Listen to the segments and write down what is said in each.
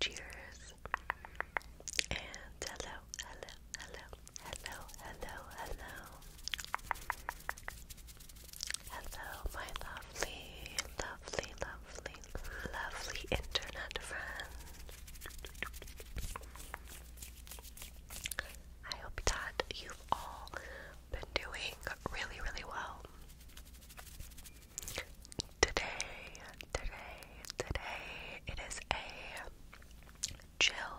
Cheers. And hello, hello, hello, hello, hello, hello. Hello, my lovely, lovely, lovely, lovely internet friend. I hope that you've all been doing really, really well. Today, today, today, it is a chill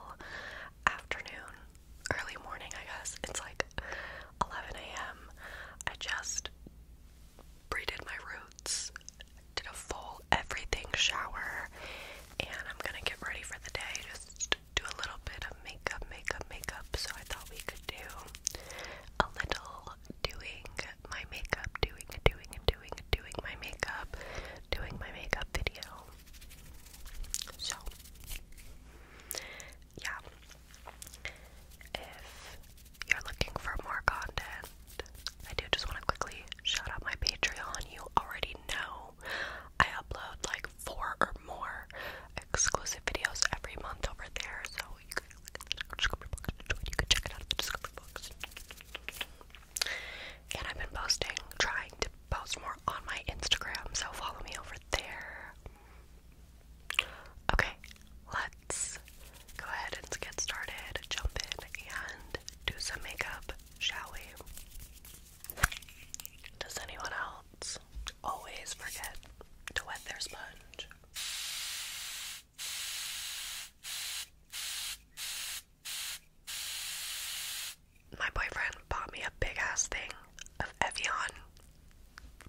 afternoon, early morning, I guess. It's like 11 a.m. I just braided my roots, did a full everything shower, and I'm gonna get ready for the day. Just do a little bit of makeup, makeup, makeup. So I thought we could do a little doing my makeup, doing, doing, doing, doing my makeup, doing my makeup video. So, yeah. If you're looking for more content, I do just want to quickly shout out my Patreon. You already know I upload like four or more exclusive videos every month over there, so you can check it out the discovery box. And I've been posting, trying to post more on my Instagram, so follow me over there. Okay, let's go ahead and get started, jump in, and do some makeup, shall we? Does anyone else always forget to wet their sponge? My boyfriend bought me a big ass thing of Evian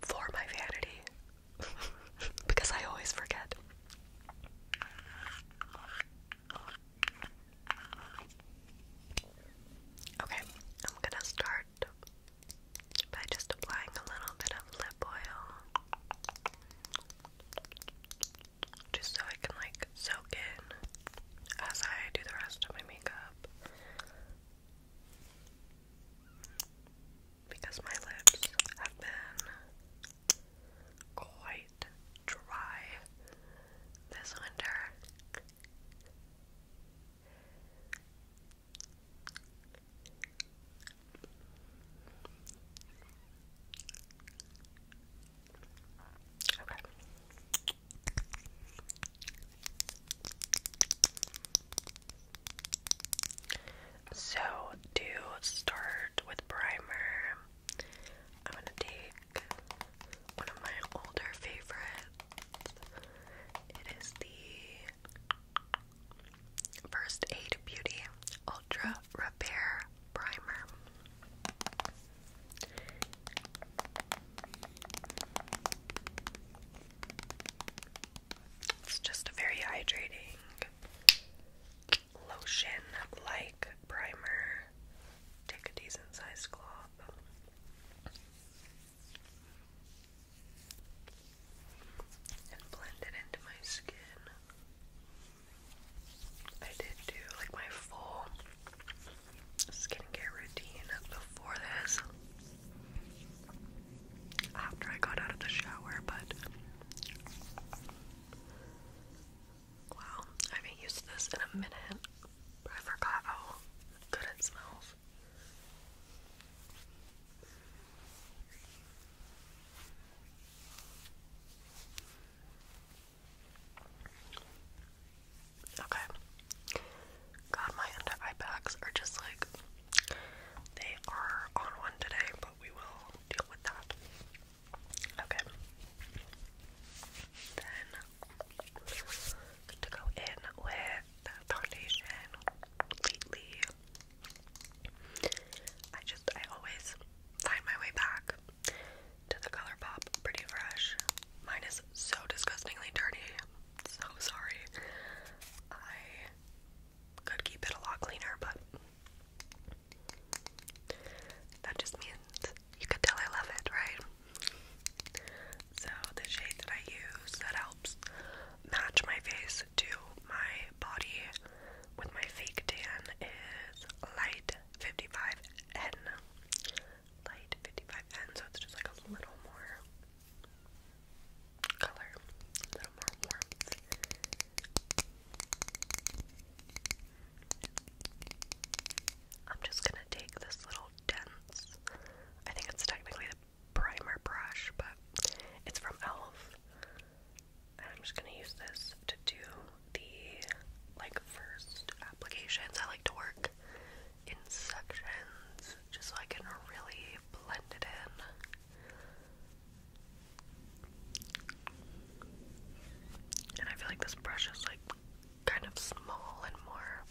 for my vanity because I always forget. Okay, I'm gonna start by just applying a little bit of lip oil. Just so I can like soak in as I do the rest of my makeup. Because my lips have been quite dry this winter. So, to start with primer, I'm going to take one of my older favorites. It is the First Aid Beauty Ultra Repair Primer. It's just a very hydrating lotion like primer. Take a decent sized cloth. And blend it into my skin. I did do like my full skincare routine before this, after I got out of the shower, but Wow, I haven't used this in a minute, but I forgot how good it smells. Okay. God, my under eye bags are just like they are on one today, but we will deal with that. Okay. Then to go in with foundation lately. I just, I always find my way back to the ColourPop Pretty Fresh. Mine is so disgustingly dirty. So sorry. I could keep it a lot cleaner, but that just means you could tell I love it, right? So the shade that I use that helps match my face to my body with my fake tan is light 55N. Light 55N, so it's just like a little more color, a little more warmth. I'm just gonna take this little dense, I think it's technically the primer brush, but it's from e.l.f. And I'm just gonna use this to do the like first applications. I like to work in sections just so I can really blend it in. And I feel like this brush is like kind of small and more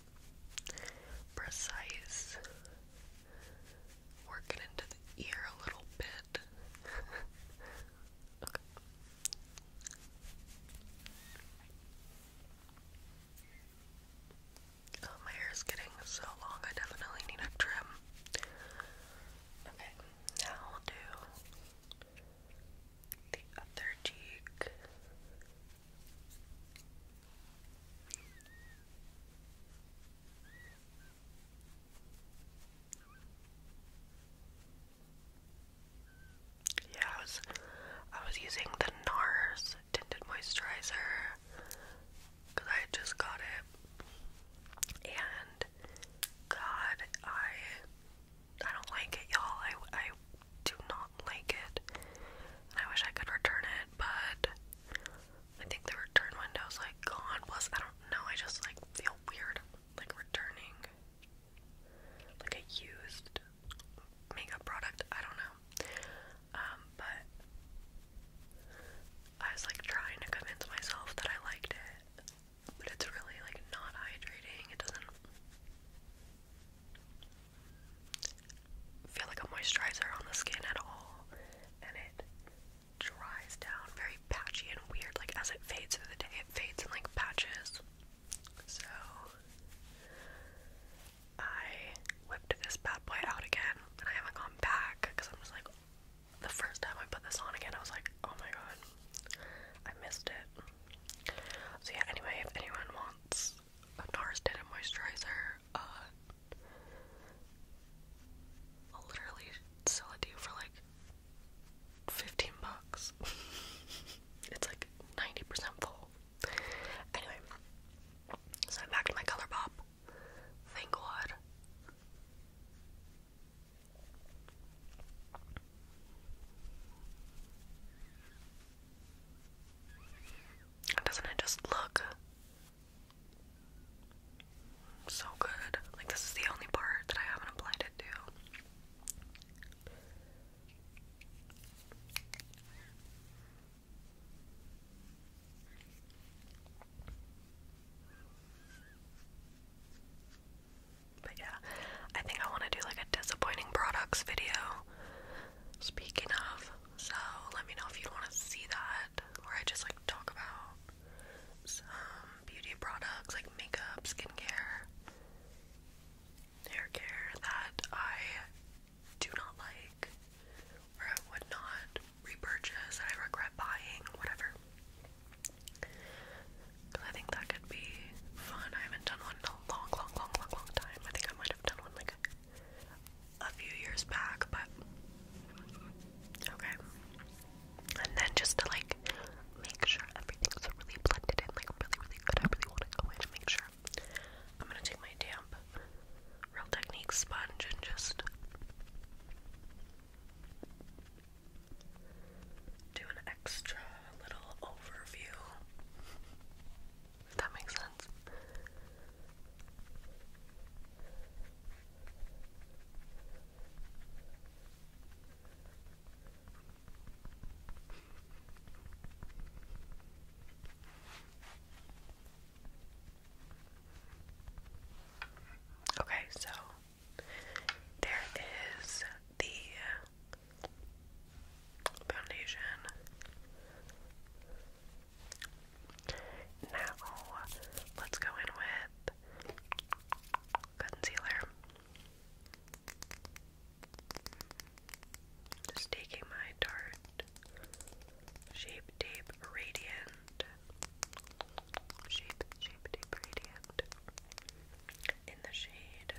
precise. Work into the ear a little bit. okay. Oh, my hair is getting so long, I definitely need a trim. Okay, now we'll do the other cheek. Yeah, I was using the NARS tinted moisturizer because I just got it and God I I don't like it, y'all. I, I do not like it. I wish I could return it, but I think the return window's like gone. Plus, I don't know. I just like feel weird like returning like a used makeup product. I don't know. Um, but I was like trying to convince myself that I liked it but it's really like not hydrating. It doesn't feel like a moisturizer on the skin at all, and it dries down very patchy and weird. Like as it fades through the day, it fades in like patches. So I whipped this bad boy out again, and I haven't gone back because I'm just like the first time I put this on again, I was like, oh my god. I missed it. So yeah, anyway, if anyone wants a NARS tinted moisturizer, uh, I'll literally sell it to you for like 15 bucks. it's like 90% full. Anyway, so back to my color Thank God. Doesn't it just look so good? Like, this is the only part that I haven't applied it to. But yeah, I think I want to do like a disappointing products video. Speaking of, so let me know if you want to see that, where I just like talk about some beauty products like makeup, skincare, hair care that I do not like, or would not repurchase, that I regret buying, whatever. I think that could be fun. I haven't done one in a long, long, long, long, long time. I think I might have done one like a, few years back, but okay. And then just to like make sure everything's really blended in, like really, really good. I really want to go in to make sure. I'm gonna take my damp Real Technique sponge and just do an extra little overview. that makes sense. Okay, so there is the foundation. Now, let's go in with concealer. Just taking my Tarte Shape Tape Radiant. Shape Shape Tape Radiant in the shade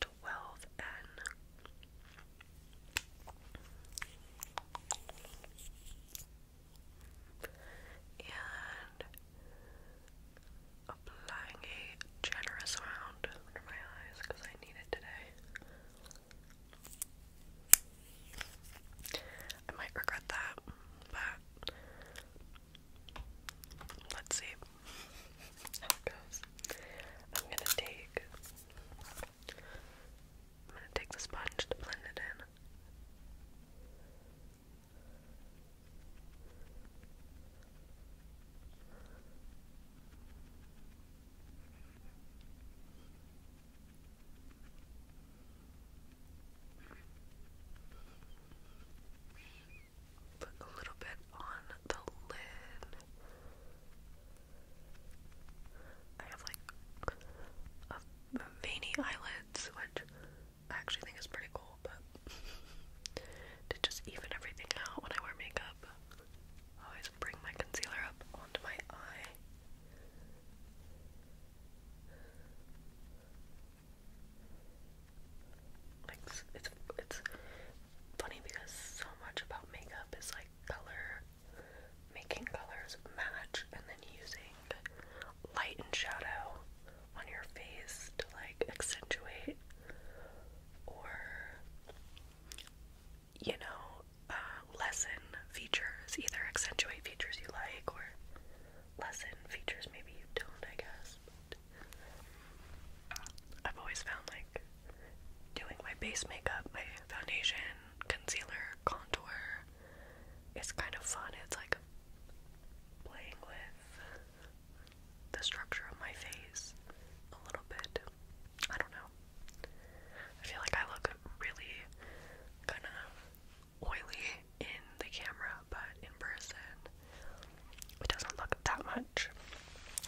twelve And applying a generous amount under my eyes because I need it today. I might regret that, but Let's see how it goes. I'm gonna take I'm gonna take the sponge to blend it in. Put a little bit on the lid. I have like veiny eyelids, which I actually think is pretty cool, but to just even everything out when I wear makeup, always bring my concealer up onto my eye. Like it's it's funny because so much about makeup is like color, making colors match, and then using light and shadow on your face to like accentuate or you know uh, lessen features, either accentuate features you like or lessen features maybe you don't, I guess. I've always found like doing my base makeup, my foundation, concealer, contour is kind of fun. It's like playing with the structure of my face a little bit. I don't know. I feel like I look really kind of oily in the camera, but in person, it doesn't look that much,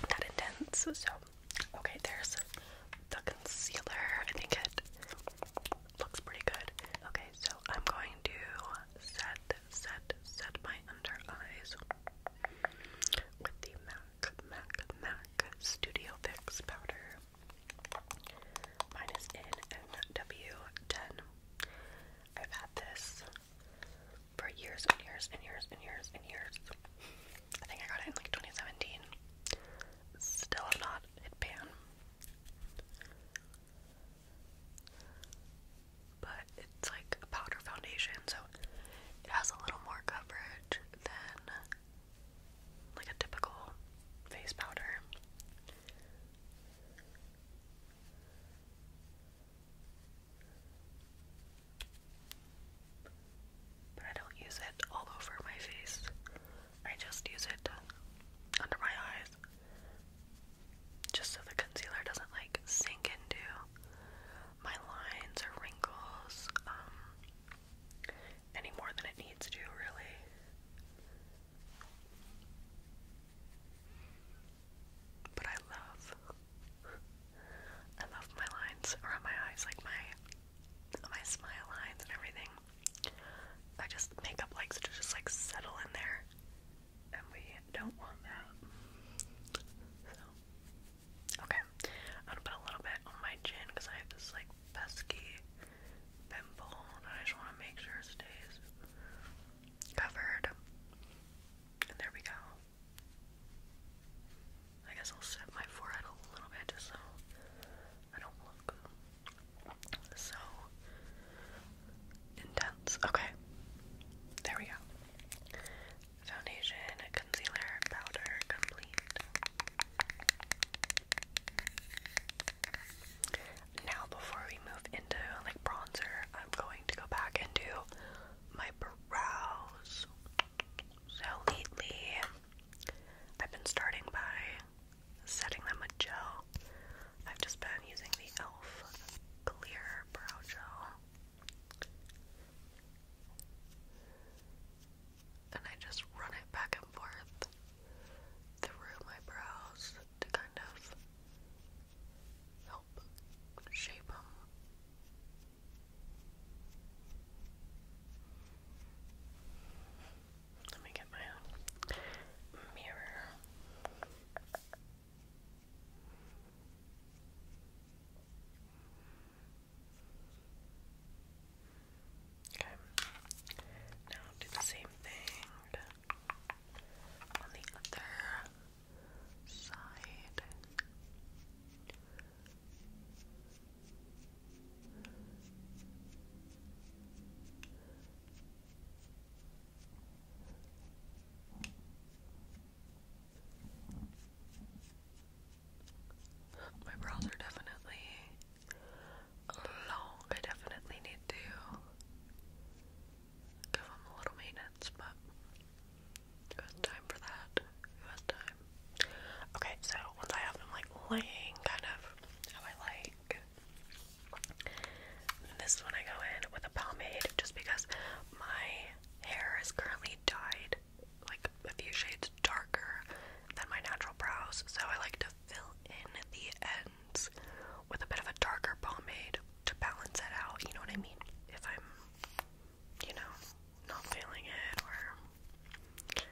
that intense. So, okay, there's the concealer. I think it looks pretty good. Okay, so I'm going to set, set, set my under eyes with the MAC, MAC, MAC Studio Fix powder. Mine is in NW10. I've had this for years and years and years and years and years. I think I got it in like 2017. Still have not hit pan. But it's like a powder foundation, so it has a little more coverage than like a typical face powder. But I don't use it all over my face. I just use it under my eyes. Just so the concealer doesn't like sink into my lines or wrinkles um, any more than it needs to, really. But I love, I love my lines around my eyes, like my, my smile lines and everything. I just, makeup likes to just like settle in there, and we don't want that. So, okay, I'm gonna put a little bit on my chin because I have this like pesky pimple, and I just want to make sure it stays covered. And there we go. I guess I'll set my forehead a little bit so I don't look so intense. Okay. There we go. Foundation, concealer, powder complete. Now, before we move into like bronzer, I'm going to go back and do my brows. So lately, I've been starting by setting them with gel. I've just been using the e.l.f. Clear Brow Gel. And I just run it back and forth through my brows to kind of help shape them. Let me get my mirror. Okay. Now do the same thing on the other side. My brows are definitely long. I definitely need to give them a little maintenance, but it time for that. It was time. Okay, so once I have them like laying kind of how I like, this is when I go in with a pomade just because my hair is currently dyed like a few shades darker than my natural brows, so I like to fill in the ends tones with a bit of a darker pomade to balance it out, you know what I mean? If I'm, you know, not feeling it, or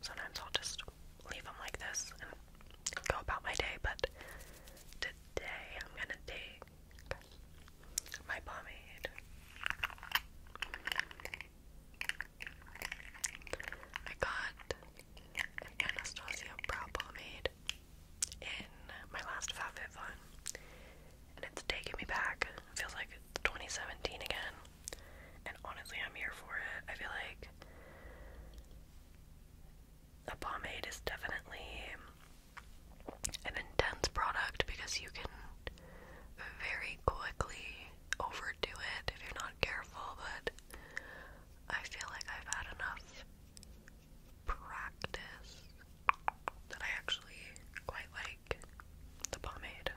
sometimes I'll just leave them like this and go about my day, but today I'm gonna take my pomade. I got an Anastasia brow pomade in my last FabFitFun, and it's taking me back. feels like 2017 again, and honestly, I'm here for it. I feel like a pomade is definitely an intense product because you can very quickly overdo it if you're not careful, but I feel like I've had enough practice that I actually quite like the pomade.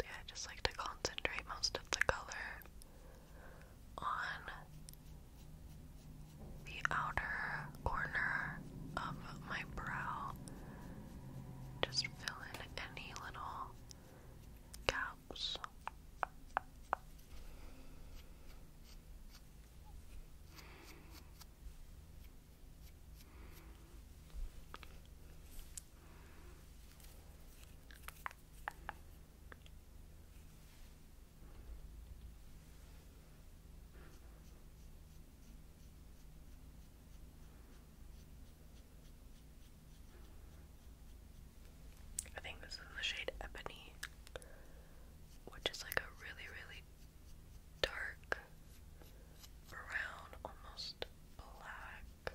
Yeah, I just like to concentrate most of the color on the outer corner of my brow. Just fill in any little gaps. I think this is the shade Ebony, which is like a really, really dark brown, almost black.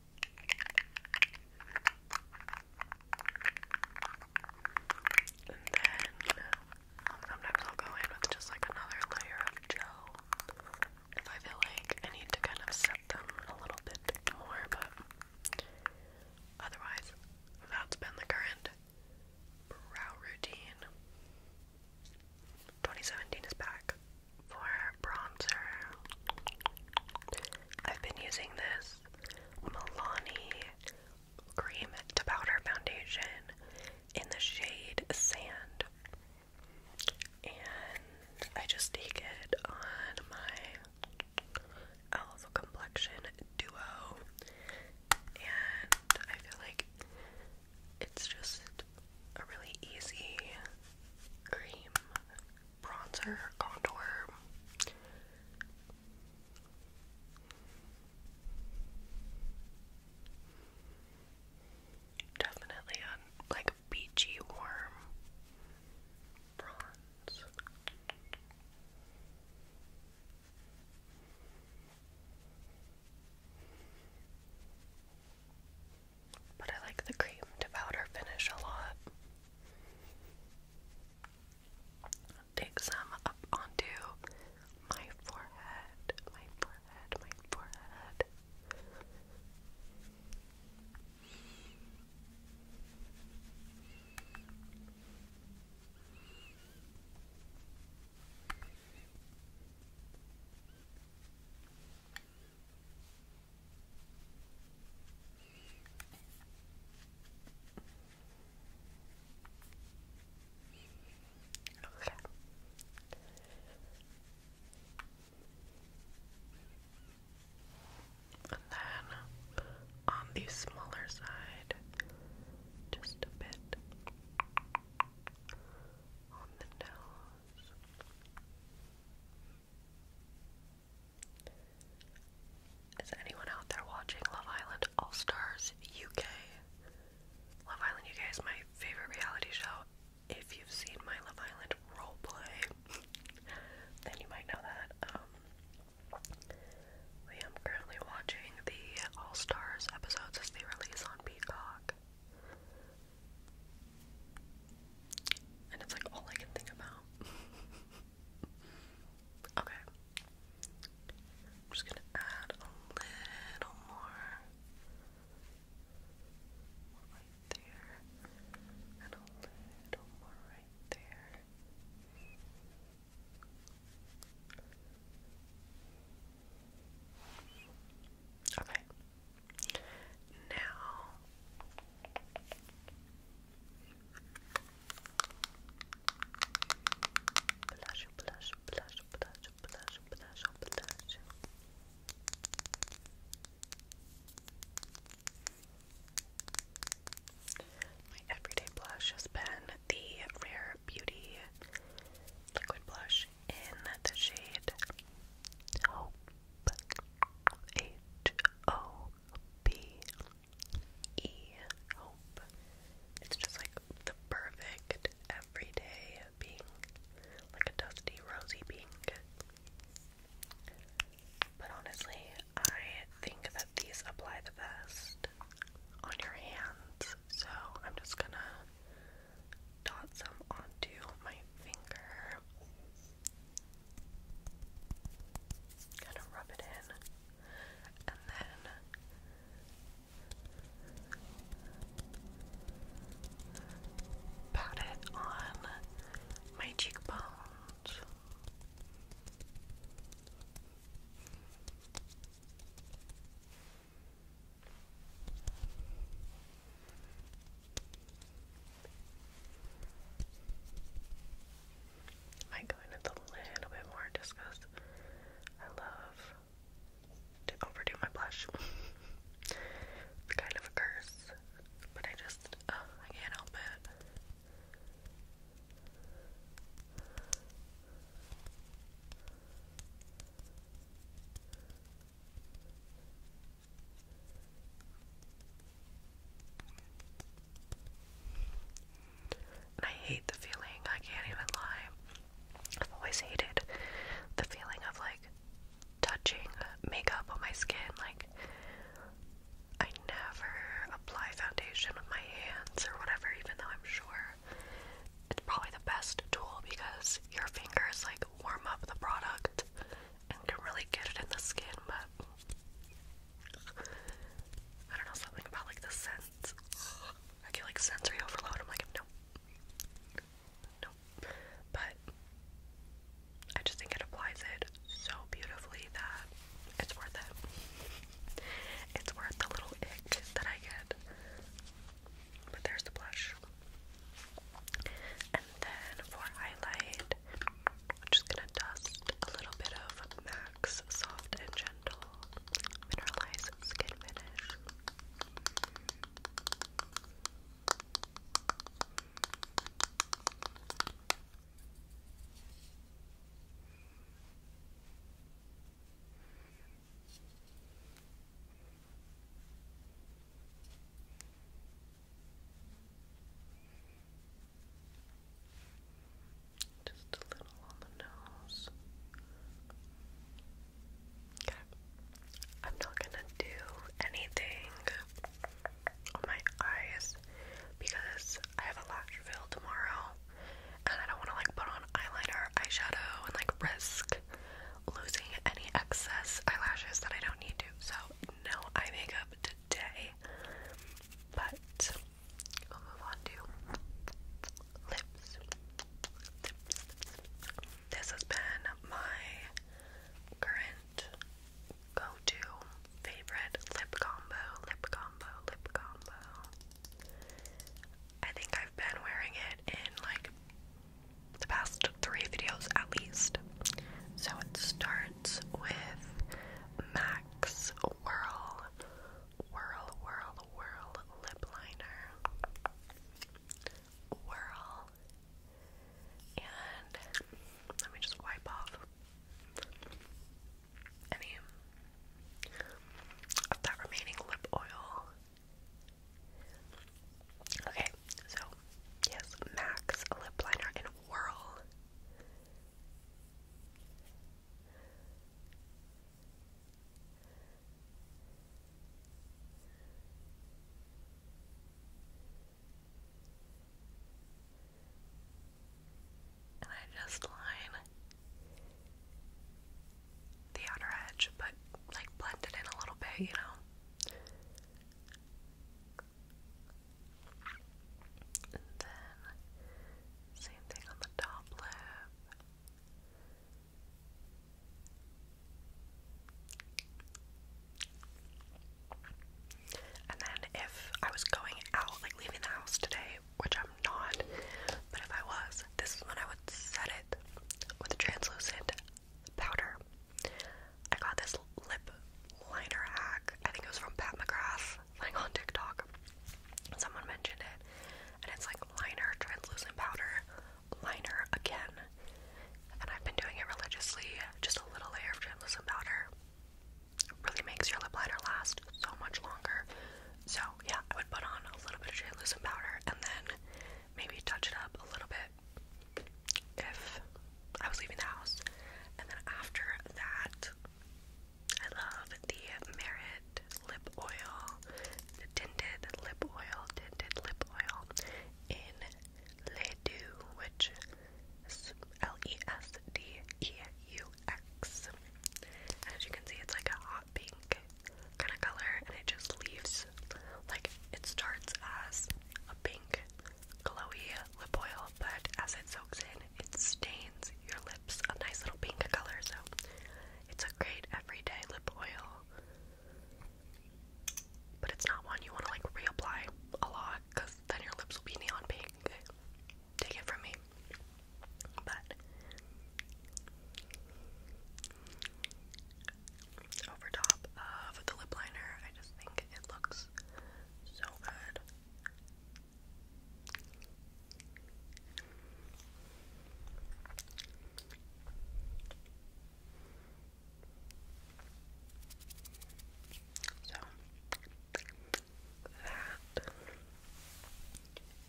And then sometimes I'll go in with just like another layer of gel if I feel like I need to kind of set them a little bit more, but otherwise, that's been the current brow routine. 2017 is back for bronzer. I've been using this Milani cream to powder foundation in the shade Sand. And I just take it on my Elf Complexion Duo. And I feel like it's just a really easy cream bronzer, contour. Definitely a like beachy warm bronze. But I like the cream to powder finish a lot. Take some up onto my forehead, my forehead, my forehead. Okay. And then on the smaller side, just a bit on the nose. Is anyone out there watching Love Island All Stars UK? Love Island UK is my favorite reality show. If you've seen my Love Island roleplay, then you might know that. Um, I am currently watching the All Stars episodes as they release on Peacock. And it's like all I can think about. okay. I'm just gonna add a little more. right there. And a little more right there. Okay. Now, blush, blush, blush, blush, blush, blush, blush. My everyday blush has been the Rare Beauty liquid blush in the shade Hope. H O B E It's just like the perfect everyday pink, like a dusty rosy pink. But honestly, I think that these apply the best on your hands, so I'm just gonna dot some onto my finger. Kind of rub it in, and then pat it on my cheekbones. Might go in with little bit more just I love to overdo my blush. it's kind of a curse, but I just, I can't help it. I hate the feeling, I can't even lie. I've always hated the feeling of like touching makeup on my skin. Like, I never apply foundation with my hands or whatever, even though I'm sure it's probably the best tool because your fingers like warm up the product and can really get it in the skin, but I don't know, something about like the scent. I get like sensory overload. I'm like, no, no. But I just think it applies it so beautifully that it's worth it. It's worth the little ick that I get. But there's the blush. And then for highlight, I'm just gonna dust a little bit of Max Soft and Gentle Mineralize Skin Finish. Just a little on the nose. Okay. I'm not gonna do anything on my eyes because I have a lash fill tomorrow and I don't wanna like put on eyeliner, eyeshadow and like risk losing any excess eyelashes that I don't need to. So, no eye makeup today. But we'll move on to lips. This has been my current go to favorite lip combo, lip combo, lip combo. I think I've been wearing it in like the past three videos at least. So it starts with Max Whirl Whirl Whirl Whirl Lip Liner. Whirl. And let me just wipe off any of that remaining lip oil Okay, so yes, Max lip liner in Whirl. And I just line the outer edge, but like blend it in a little bit, you know? And then same thing on the top lip. And then if I was going out, like leaving the house today, which I'm not, but if I was, this is when I would set it with a translucent powder. I got this lip liner hack. I think it was from Pat McGrath, like on TikTok. Someone mentioned it. And it's like liner, translucent powder, liner again. And I've been doing it religiously. Just a little layer of translucent powder. really makes your lip liner last so much longer. So, yeah, I would put on a little bit of translucent powder and then maybe touch it up a little bit if I was leaving the house. And then after that, I love the Merit lip oil, the tinted lip oil, tinted lip oil in Ledoux, which L-E-S-D-E-U-X. And as you can see, it's like a hot pink kind of color, and it just leaves like it starts as a pink glowy lip oil, but as it soaks in, it stains your lips a nice little pink color. So it's a great everyday lip oil, but it's not one you want to like reapply a lot because then your lips will be neon pink. Take it from me. But over top of the lip liner. I just think it looks so good. So that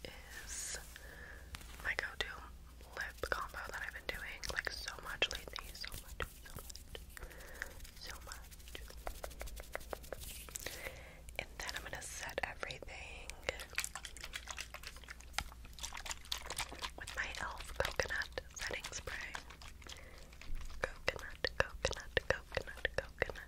is my go-to lip combo that I've been doing like so much lately. So much, so much, so much. And then I'm gonna set everything with my e.l.f. coconut setting spray. Coconut, coconut, coconut, coconut.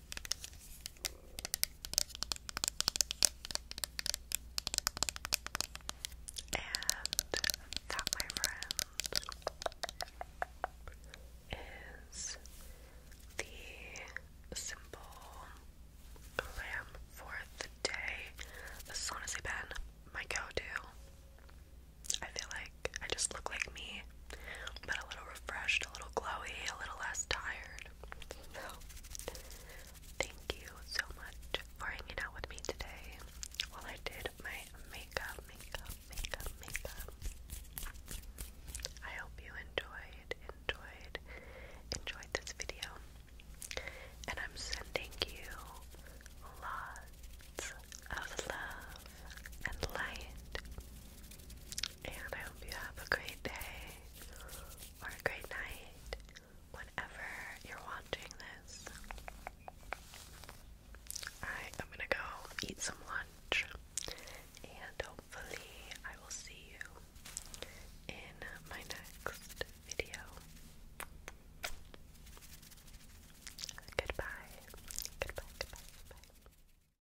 And that, my friend, is the simple glam for the day. This has honestly been my go-to. I feel like I just look like me but a little refreshed, a little glowy, a little less tired. So, thank you so much for hanging out with me today while I did my makeup, makeup, makeup, makeup. I hope you enjoyed, enjoyed, enjoyed this video. And I'm sending you lots of love and light and I hope you have a great day or a great night whenever you're watching this. I'm gonna go eat some lunch and hopefully I will see you in my next video. Goodbye. Goodbye, goodbye, goodbye.